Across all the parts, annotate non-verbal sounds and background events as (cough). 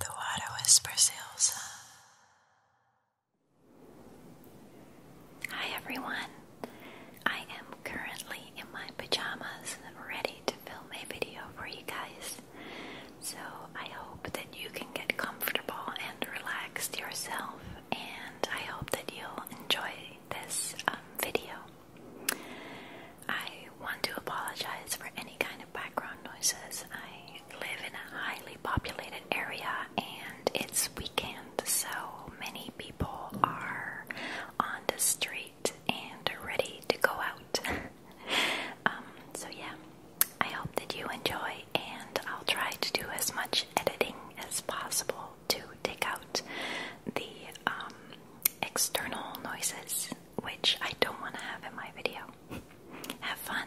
The water whispers Elsa. Hi everyone. I am currently in my pajamas, and ready to film a video for you guys. So I hope that you can get comfortable and relaxed yourself, and I hope that you'll enjoy this um, video. I want to apologize for any kind of background noises. I live in a highly populated area and it's weekend, so many people are on the street and ready to go out. (laughs) Um, so, yeah, I hope that you enjoy, and I'll try to do as much editing as possible to take out the um, external noises which I don't want to have in my video. Have fun.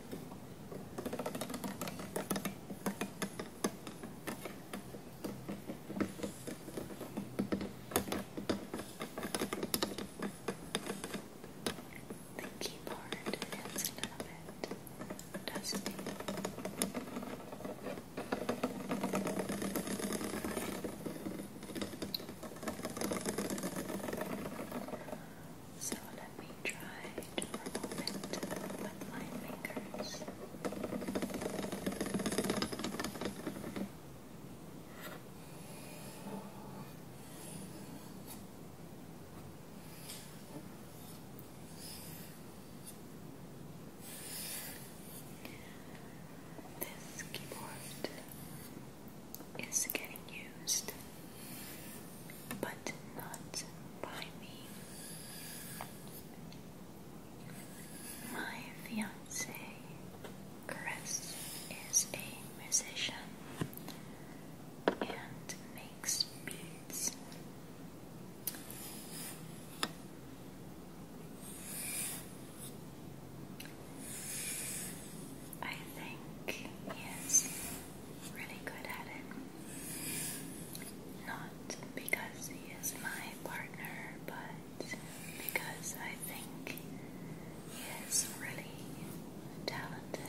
The keyboard is a little bit dusty. So let me try to remove it with my fingers. This keyboard is getting used, but not by me. My fiance, Chris, is a musician and makes beats. I think he is really good at it. Not because he is my partner, but because I think he is really talented.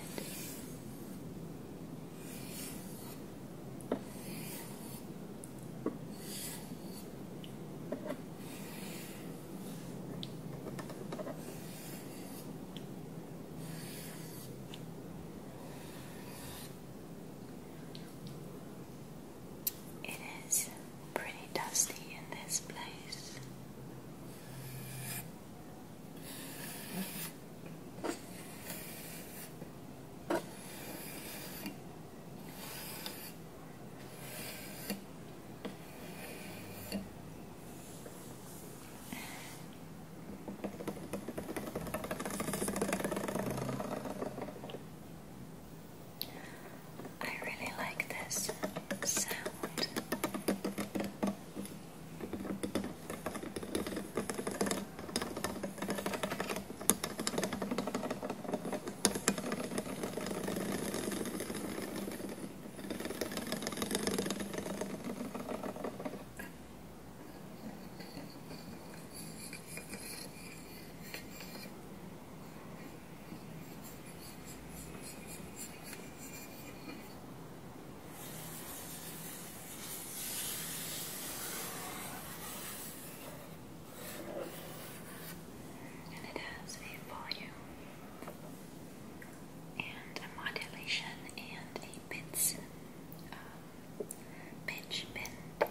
It is pretty dusty in this place. I really like this sound. And it has a volume and a modulation and a pitch, um, pitch bend.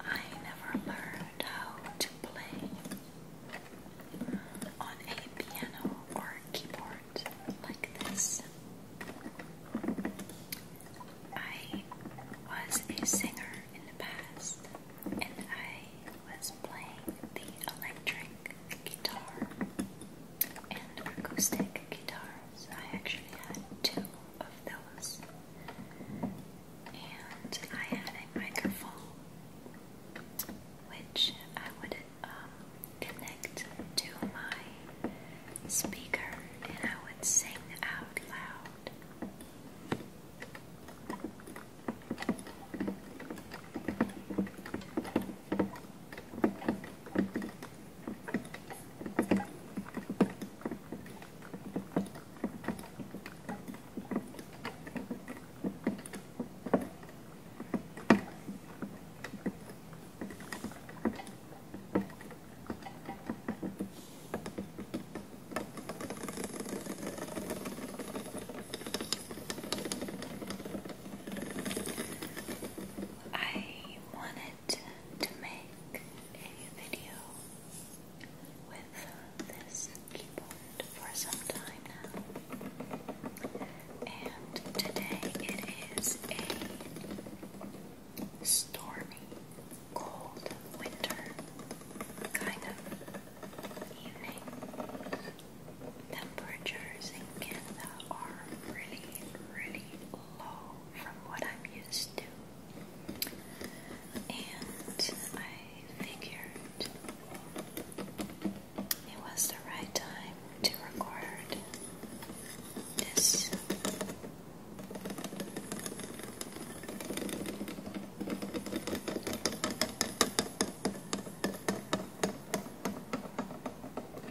I never learned how to play on a piano or keyboard like this. I was a singer in the past and I was playing the electric guitar and acoustic guitars. I actually had two of those, and I had a microphone which I would um, connect to my speaker, and I would sing out loud. I wanted to make a video with this keyboard for some time now, and today it is a stormy, cold winter kind of evening. Temperatures in Canada are really, really low from what I'm used to. And I figured it was the right time to record this.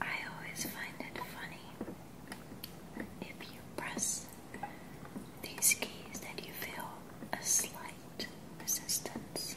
I always find it funny if you press these keys that you feel a slight resistance.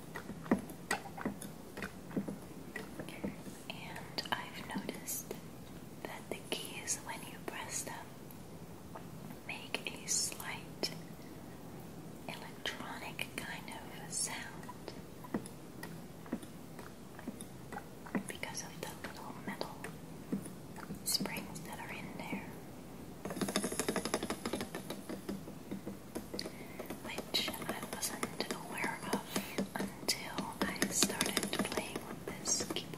And I've noticed that the keys, when you press them, make a slight electronic kind of sound because of the little metal springs that are in there which I wasn't aware of until I started playing with this keyboard.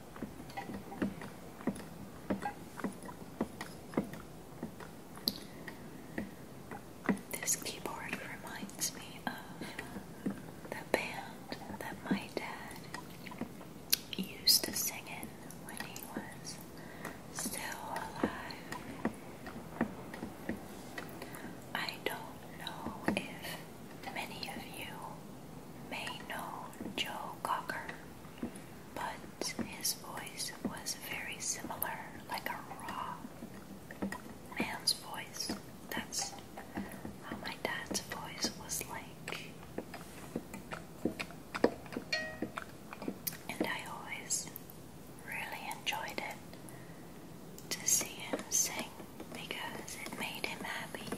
This keyboard reminds me of the band that my dad used to sing in when he was still alive. I don't know if many of you may know Joe Cocker, but his voice was very similar, like a raw man's voice. That's how my dad's voice was like. And I always really enjoyed it to see him sing because it made him happy.